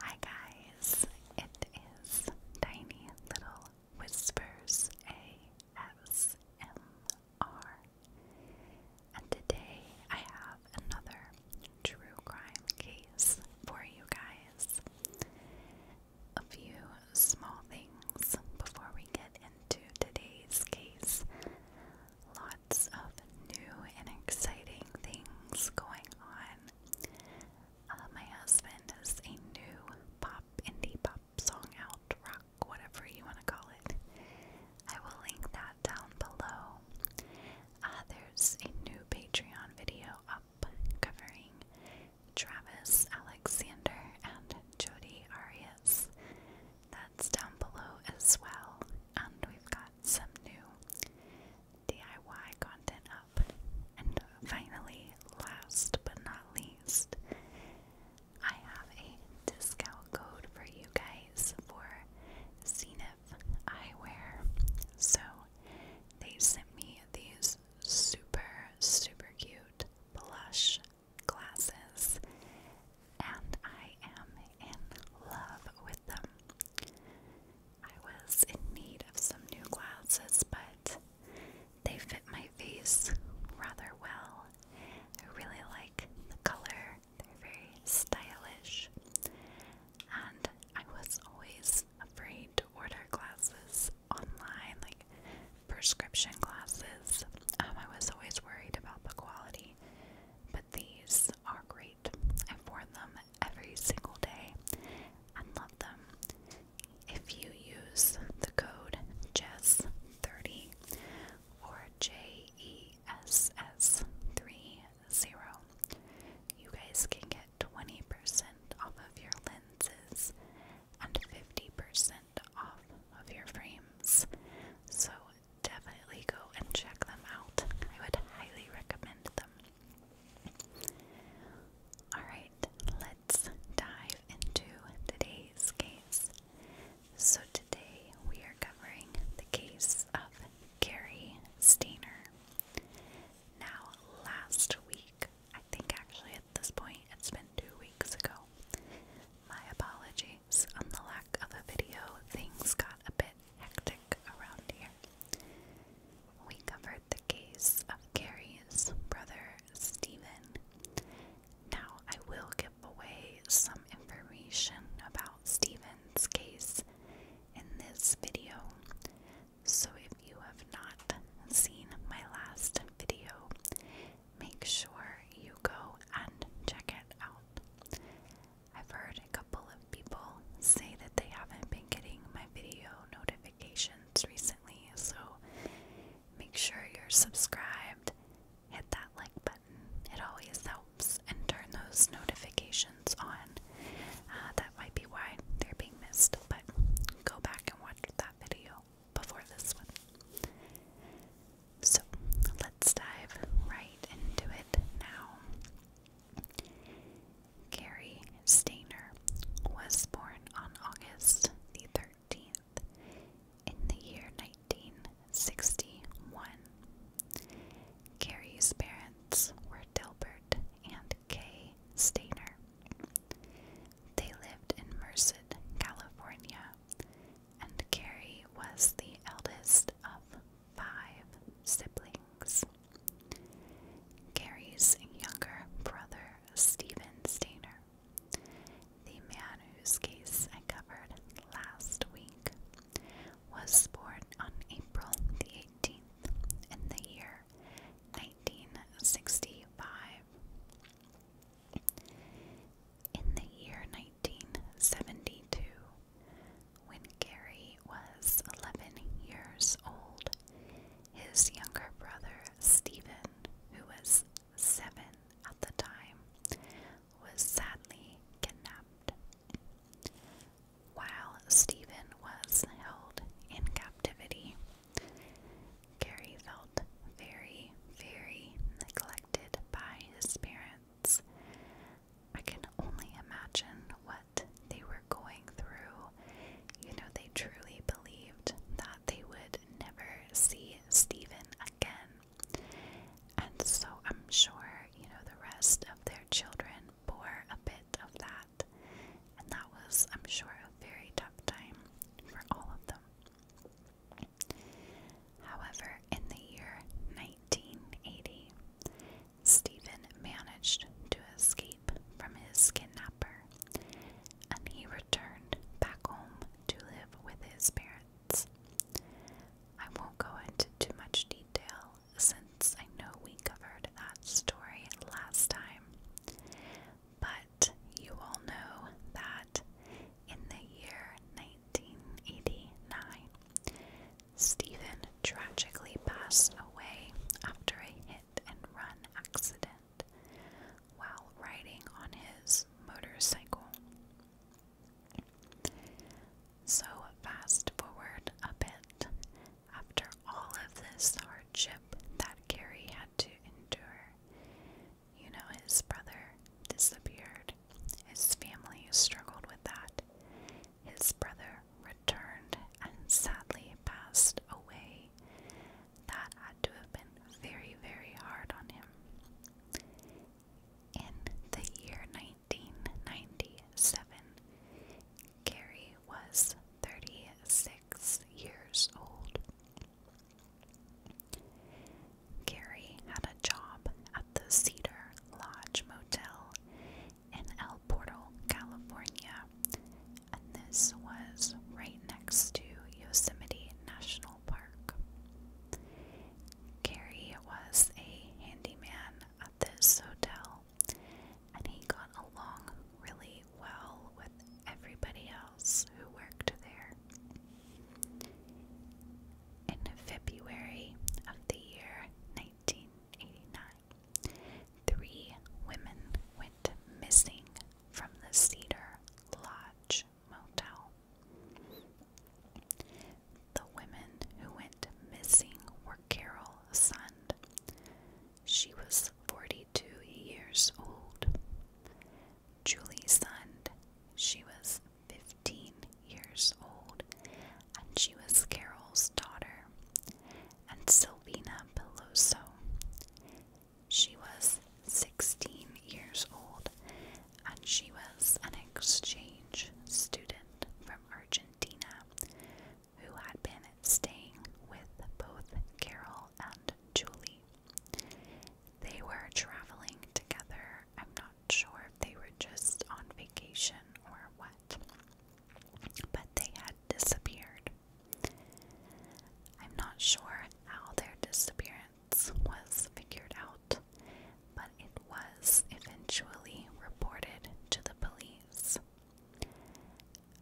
Hi guys, it is Tiny Little Whispers ASMR, and today I have another true crime case for you guys. A few small things before we get into today's case of new and exciting things going on. Uh, my husband has a new pop, indie pop song out, rock, whatever you want to call it. I will link that down below. Uh, there's a new Patreon video up covering Travis Alexander and Jody Arias. That's down below as well. And we've got some new DIY content up. And finally, last but not least, I have a discount code for you guys for Zenith Eyewear. So they sent me these super, super cute blush glasses, and I am in love with them. I was in need of some new glasses, but they fit my face rather well. I really like the color, they're very stylish. And I was always afraid to order glasses online, like prescription glasses. Um, I was always worried about the quality. But these are great. I've worn them every single day and love them. If you use the code JESS30 or JESS30, you guys can get 20% off of your lenses and 50% off of your frames. So definitely go and check them out. I would highly recommend them. Alright, let's dive into today's case. So, today we are covering the case of Gary Stainer. Now, last week, I think actually at this point it's been two weeks ago. My apologies on the lack of a video, things got a bit hectic around here. We covered the case of Carrie's brother Stephen. Now, I will give away some information about Stephen's case in this video. So, if you have not seen my last video, make sure you go and check it out. I've heard a couple of people say that they haven't been getting my video notifications recently, so make sure you're subscribed, hit that like button, it always helps, and turn those notifications on. Uh, that might be why they're being missed, but go back and watch that video before this one. So let's dive right into it now. Gary Stainer was born on August the 13th in the year 1961. Gary's parents were Delbert and Kay Stainer. They lived in Merced, California, and Gary was the eldest of five siblings. Gary's younger brother, Stephen Stainer, the man whose case I covered last week, was born on April the 18th in the year 1965. In the year 1972, when Gary was 11 years old, his younger brother Stephen, who was seven at the time, was sadly kidnapped. While Stephen was held in captivity, Gary felt very, very neglected by his parents I can only imagine what they were going through. You know, they truly believed that they would never see Stephen again. And so I'm sure, you know, the rest of their children bore a bit of that. And that was, I'm sure, a very tough time for all of them. However, in the year 1980, Stephen managed to escape from his kidnapper, and he returned back home to live with his parents. I won't go into too much detail since I know we covered that story last time, but you all know that in the year 1989, Stephen tragically passed away after a hit and run accident while riding on his motorcycle. So, fast forward a bit, after all of this hardship that Gary had to endure, you know, his brother disappeared his family struggled with that. His brother returned and sadly passed away. That had to have been very, very hard on him. In the year 1997, Gary was 36 years old. Gary had a job at the Cedar Lodge Motel in El Portal, California. And this was right next to Yosemite National Park. Gary was a handyman at this hotel, and he got along really well with everybody else who worked there. In February of the year 1989, three women went missing from the Cedar Lodge Motel. The women who went missing were Carol Sund. She was 42 years old. Julie Sund. She was 15 years old, and she was Carol's daughter, and Silvina Peloso. She was 16 years old, and she was an exchange student from Argentina who had been staying with both Carol and Julie. They were traveling together, sure if they were just on vacation or what, but they had disappeared. I'm not sure how their disappearance was figured out, but it was eventually reported to the police.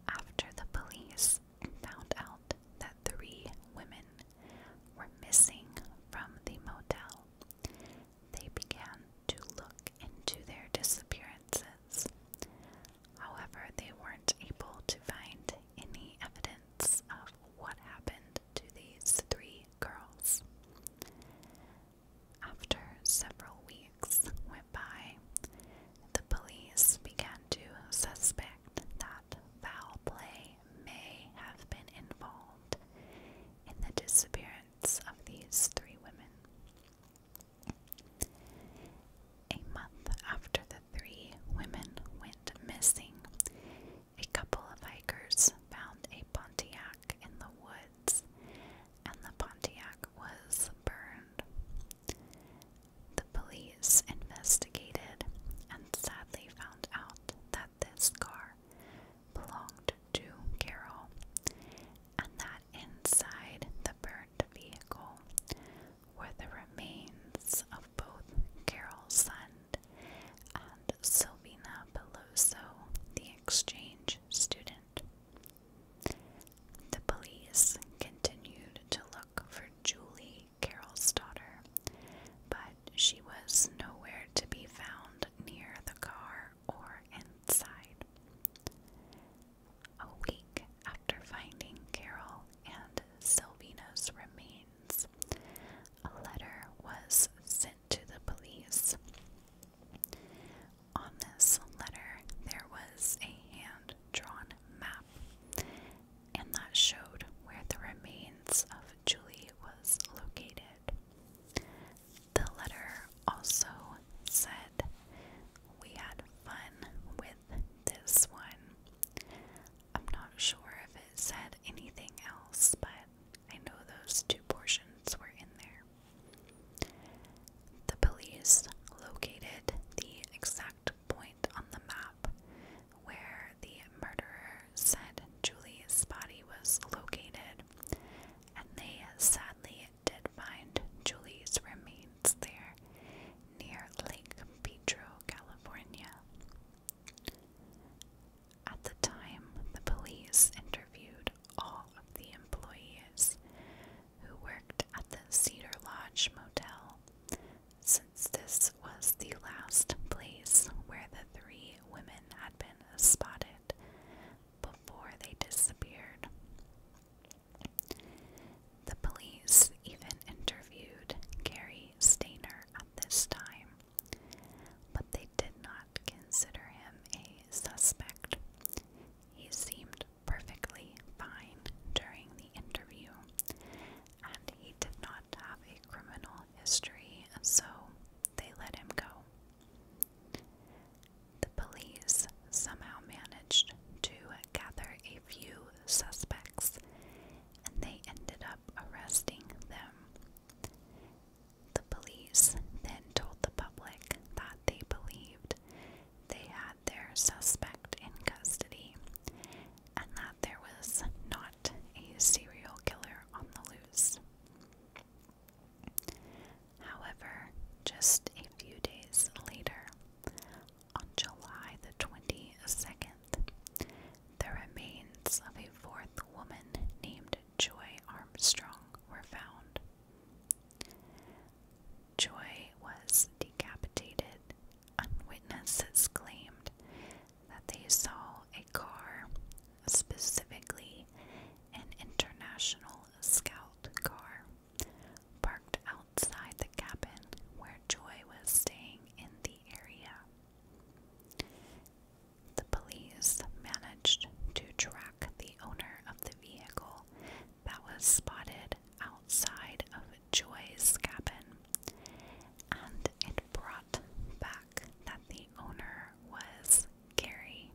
After the police found out that three women were missing from the motel, they began to look into their disappearances. However, they weren't able to find any evidence of what happened to these three girls. After several weeks went by, the police began to suspect that foul play may have been involved in the disappearance of these three women. A month after the three women went missing, a couple of hikers found a Pontiac in the woods, and the Pontiac was burned. The police investigated and sadly found out that this car belonged to Carol, and that inside the burnt vehicle were the remains of both Carol Sund and Sylvina Peloso, the exchange student. The police continued to look for Julie, Carol's daughter, but she was nowhere to be found near the car or inside. A week after finding Carol and Silvina's remains, a letter was sent to the police. On this letter, there was a hand drawn map, and that showed where the remains of Julie was located. The letter also said, We had fun with this one. I'm not sure if it said anything else, but I know those two portions were in there. The police located the exact point on the map where the murderer said Julie's body was located and they sadly did find Julie's remains there near Lake Pedro, California. At the time, the police interviewed all of the employees who worked at the Cedar Lodge Motel, since this was the last place where the three women had been spotted before they disappeared. The police even interviewed Gary Stainer at this time, but they did not consider him a suspect. He seemed perfectly fine during the interview, and he did not have a criminal history, so they let him go. The police somehow managed to gather a few suspects and they ended up arresting them. The police then told the public that they believed they had their suspect in custody and that there was not a serial killer on the loose. However, just a few days later, on July the 22nd, the remains of a fourth woman named Joy Armstrong were found. Joy was decapitated. Witnesses claimed that they saw a car specifically an international scout car, parked outside the cabin where Joy was staying in the area. The police managed to track the owner of the vehicle that was spotted outside of Joy's cabin, and it brought back that the owner was Gary,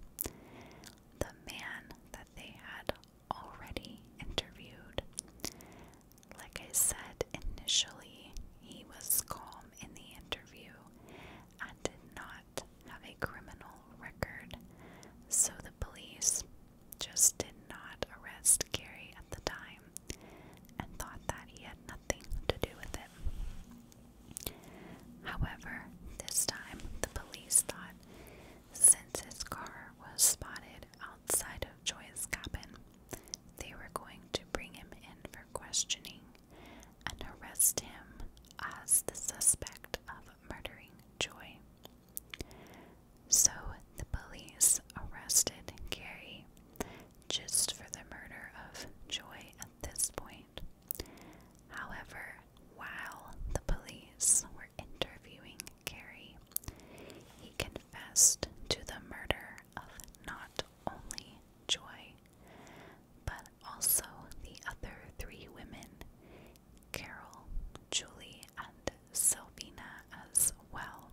the man that they had already interviewed. Like I said initially, he was calm in the interview and did not have a criminal record, so the police just did not arrest Gary at the time and thought that he had nothing to do with it. However, this time the police thought since his car was spotted outside of Joy's cabin, they were going to bring him in for questioning and arrest him as the suspect of murdering Joy. So the police arrested Gary just for the murder of Joy at this point. However, while the police were interviewing Carey, he confessed to the murder of not only Joy, but also the other three women, Carol, Julie, and Sylvina as well.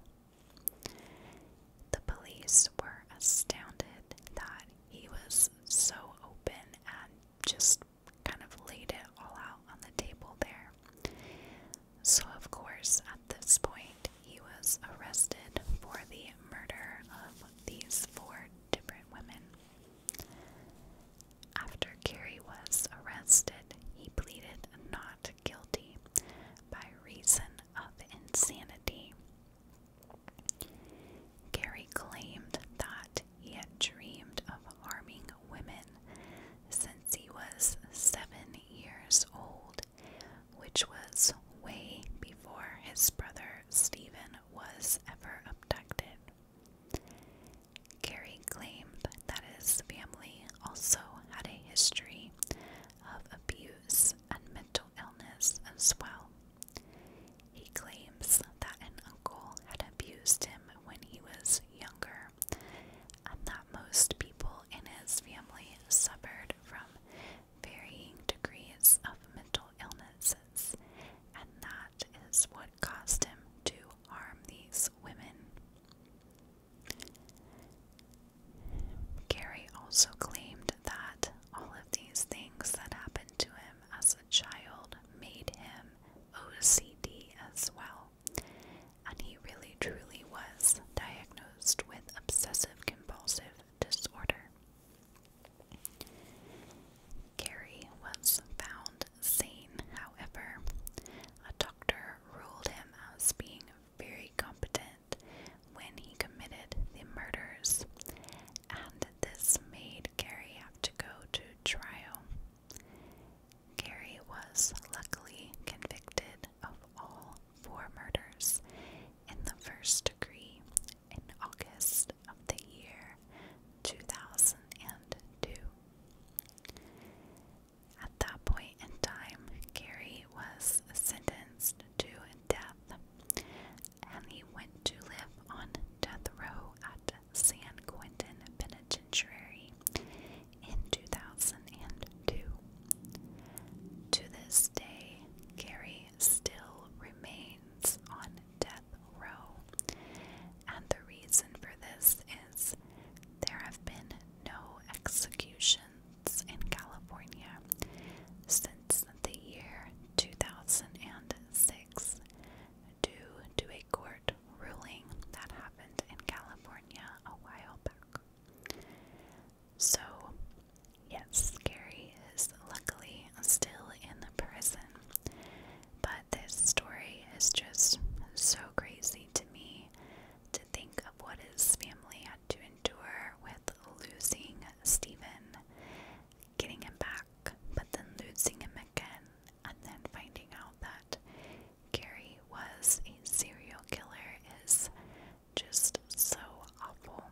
The police were astounded that he was so open and just kind of laid it all out on the table there. So, of course, at this point, he was arrested for the murder of these four different women. After Carrie was arrested, he pleaded not guilty by reason of insanity Gary claimed that he had dreamed of harming women since he was seven years old, which was way before his brother Stephen was ever abducted. Gary claimed that his family also had a history of abuse and mental illness as well. He claims that an uncle had abused him when he was younger, and that most people in his family suffered from varying degrees of mental illnesses, and that is what caused him to harm these women. Gary also claimed that all of these things that happened to him as a child made him OCD as well. And he really truly was diagnosed with obsessive compulsive disorder. Gary was found sane, however. A doctor ruled him as being very competent when he committed the murders, and this made Gary have to go to trial. Gary was luckily convicted of all four murders in the first degree in August of the year 2002. At that point in time, Gary was sentenced to death and he went to live on death row at San Quentin Penitentiary in 2002. To this day, Gary still remains on death row, and the reason for this is there have been no executions in California, so it's the year 2006 due to a court ruling that happened in California a while back. So, yes, Gary is luckily still in the prison, but this story is just so crazy to me to think of what his family had to endure with losing Stephen getting him back, but then losing him again, and then finding out that Gary was a serial killer is just so awful.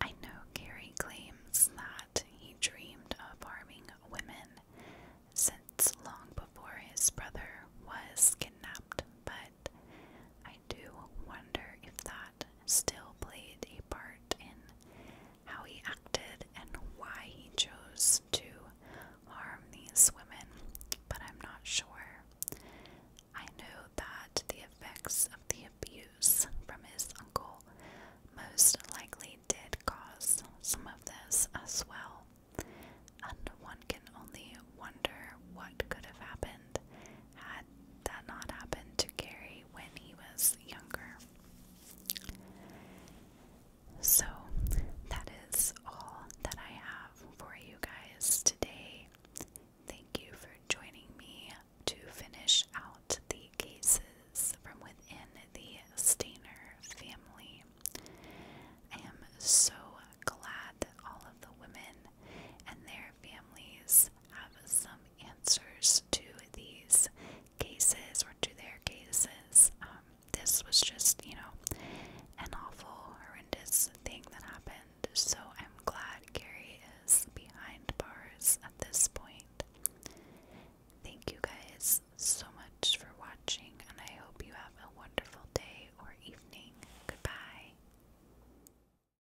I know Gary claims that he dreamed of harming women since long before his brother was kidnapped, but I do wonder if that still played a part in how he acted and why he chose to harm these women, but I'm not sure. I know that the effects of the abuse from his uncle most likely did cause some of this as well, and one can only wonder what could have happened had that not happened to Gary when he was younger. So, that is all that I have for you guys today. Thank you for joining me to finish out the cases from within the Stainer family. I am so glad all of the women and their families have some answers to these cases or to their cases. Um, this was just, you know, an awful, horrendous thing that happened. So I'm glad Gary is behind bars at this point. Thank you guys so much for watching, and I hope you have a wonderful day or evening. Goodbye.